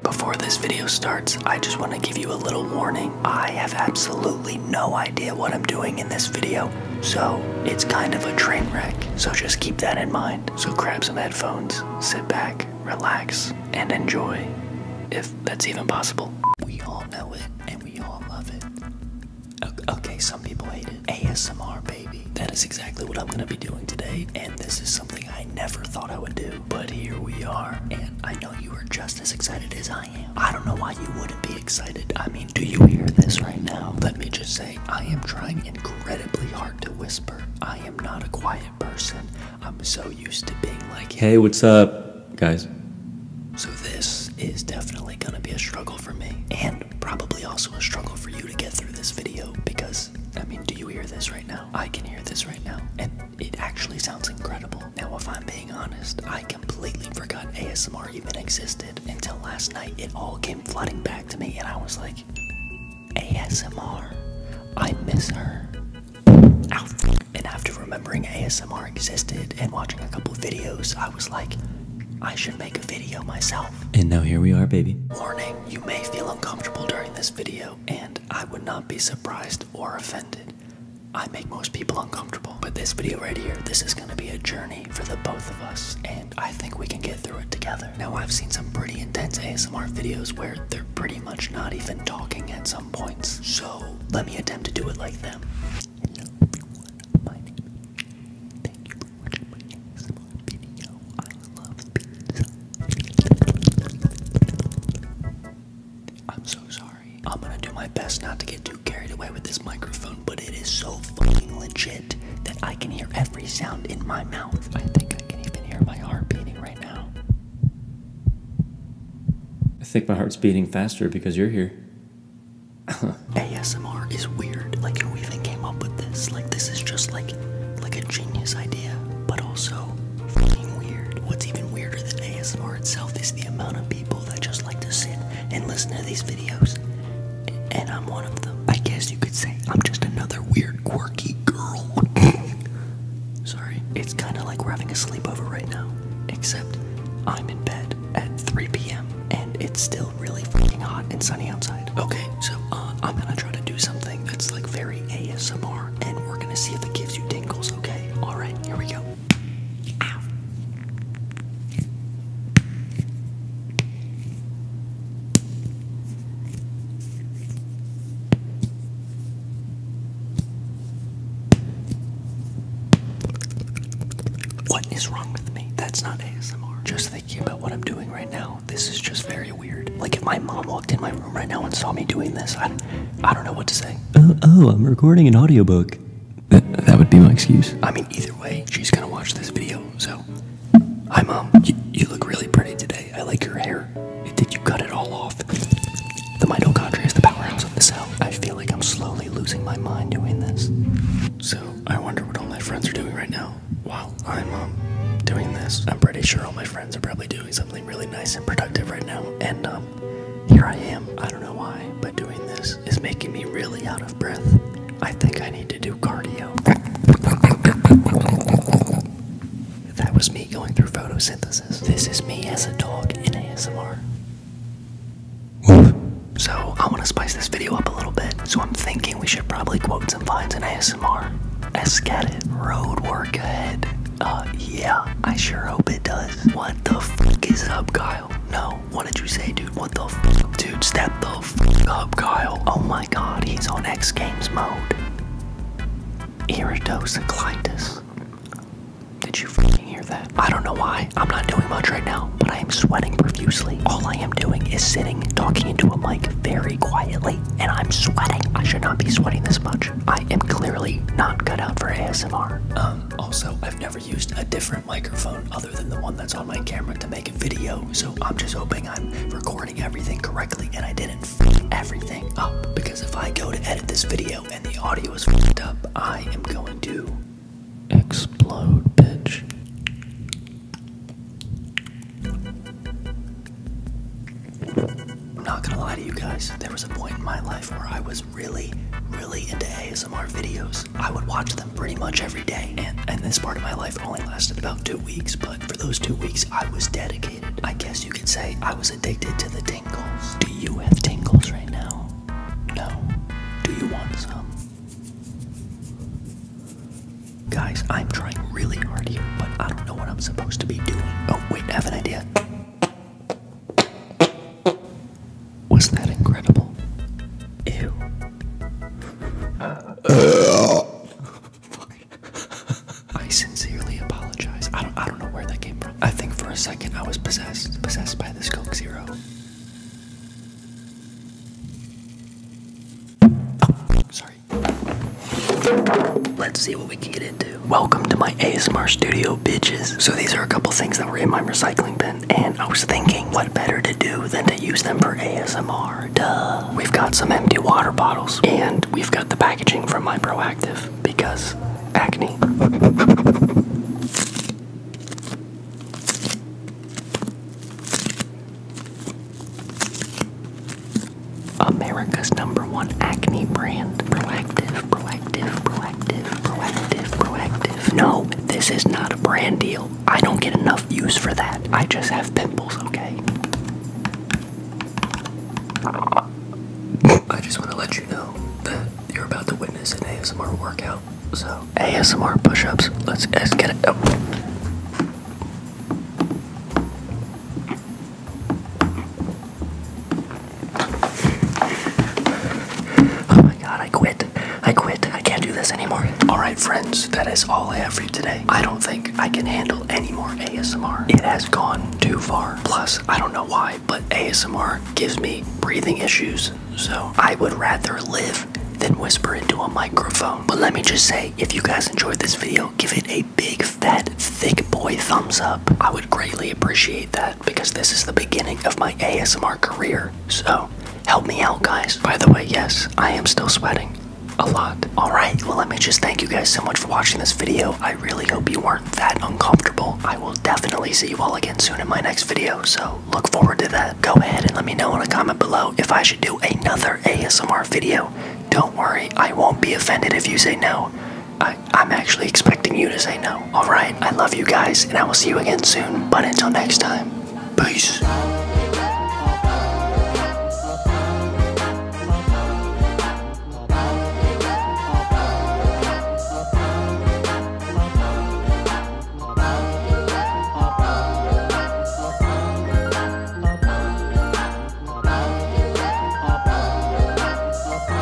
Before this video starts, I just want to give you a little warning. I have absolutely no idea what I'm doing in this video, so it's kind of a train wreck. So just keep that in mind. So grab some headphones, sit back, relax, and enjoy, if that's even possible. We all know it, and we all love it. Okay, some people hate it. ASMR, baby. That is exactly what I'm going to be doing today, and this is something I I never thought I would do. But here we are, and I know you are just as excited as I am. I don't know why you wouldn't be excited. I mean, do you hear this right now? Let me just say, I am trying incredibly hard to whisper. I am not a quiet person. I'm so used to being like, hey, what's up, guys? So this is definitely gonna be a struggle for me, and probably also a struggle for you to get through this video because I mean, do you hear this right now? I can hear this right now, and it actually sounds incredible. Now, if I'm being honest, I completely forgot ASMR even existed until last night. It all came flooding back to me, and I was like, ASMR? I miss her. Ow. And after remembering ASMR existed and watching a couple videos, I was like, I should make a video myself. And now here we are, baby. Morning. You may feel uncomfortable during this video, and I would not be surprised or offended. I make most people uncomfortable, but this video right here, this is gonna be a journey for the both of us, and I think we can get through it together. Now, I've seen some pretty intense ASMR videos where they're pretty much not even talking at some points, so let me attempt to do it like them. Hello everyone, my name Thank you for watching my ASMR video. I love pizza. I'm so sorry. I'm gonna do my best not to get too carried away with this microphone, but it is so fucking legit that I can hear every sound in my mouth. I think I can even hear my heart beating right now. I think my heart's beating faster because you're here. ASMR is weird. Like who even came up with this? Like this is just like like a genius idea, but also fucking weird. What's even weirder than ASMR itself is the amount of people that just like to sit and listen to these videos. And I'm one of them. I guess you could say I'm just another weird quirky girl. Sorry. It's kinda like we're having a sleepover right now. Except I'm in bed at 3 p.m and it's still really freaking hot and sunny outside. Okay, so uh, I'm gonna try to do something that's like very ASMR, and we're gonna see if it gives you tingles, okay? Alright, here we go. What is wrong with me? That's not ASMR. Just thinking about what I'm doing right now, this is just very weird. Like if my mom walked in my room right now and saw me doing this, I, I don't know what to say. Oh, oh I'm recording an audiobook. that would be my excuse. I mean, either way, she's gonna watch this video, so. Hi mom, you look really pretty today. I like your hair. Did you cut it all off? The mitochondria is the powerhouse of the cell. I feel like I'm slowly losing my mind doing this. So, I wonder what all my friends are doing right now while I'm um, doing this. I'm pretty sure all my friends are probably doing something really nice and productive right now. And um, here I am. I don't know why, but doing this is making me really out of breath. I think I need to do cardio. That was me going through photosynthesis. This is me as a dog in ASMR. Woof. So, I want to spice this video up a little bit. So, I'm thinking we should probably quote some vines in ASMR. Escat it. Road work ahead. Uh, yeah, I sure hope it does. What the fuck is up, Kyle? No, what did you say, dude? What the fuck? Dude, step the fuck up, Kyle. Oh my god, he's on X Games mode. Eridosoclytus. Did you freaking hear that? I don't know why. I'm not doing much right now, but I am sweating profusely. All I am doing is sitting, talking into a mic very quietly, and I'm sweating. I should not be sweating this much. I am clearly not cut out for ASMR. Um, also, I've never used a different microphone other than the one that's on my camera to make a video, so I'm just hoping I'm recording everything correctly and I didn't and everything up because if I go to edit this video and the audio is fucked up, I am going to explode, bitch. I'm not gonna lie to you guys, there was a point in my life where I was really, really into ASMR videos. I would watch them pretty much every day, and, and this part of my life only lasted about two weeks, but for those two weeks, I was dedicated I, guess you could say I was addicted to the tingles. Do you have tingles right now? No. Do you want some? Guys, I'm trying really hard here, but I don't know what I'm supposed to be doing. Oh, wait, I have an idea. Was that incredible? Ew. I sincerely apologize. I don't I don't know where that came from. I think for a second I was possessed. Possessed by this Coke Zero. Oh, sorry. Let's see what we can get into. Welcome to my ASMR studio, bitches. So these are a couple things that were in my recycling bin, and I was thinking, what better to do than to use them for ASMR? water, duh. We've got some empty water bottles, and we've got the packaging from my proactive because acne. America's number one acne brand. Proactive, proactive, proactive, proactive, proactive. No, this is not a brand deal. I don't get enough views for that. I just have pimples, okay? I just want to let you know that you're about to witness an ASMR workout. So, ASMR push ups. Let's, get it. Oh my god, I quit. I quit. I can't do this anymore. Alright, friends, that is all I have for you today. I don't think I can handle any more ASMR. It has gone too far. Plus, I don't know why, but ASMR gives me breathing issues. So I would rather live than whisper into a microphone. But let me just say, if you guys enjoyed this video, give it a big, fat, thick boy thumbs up. I would greatly appreciate that because this is the beginning of my ASMR career. So help me out, guys. By the way, yes, I am still sweating a lot. Alright, well, let me just thank you guys so much for watching this video. I really hope you weren't that uncomfortable. I will definitely see you all again soon in my next video, so look forward to that. Go ahead and let me know in a comment below if I should do another ASMR video. Don't worry, I won't be offended if you say no. I I, am actually expecting you to say no. Alright, I love you guys, and I will see you again soon. But until next time, peace.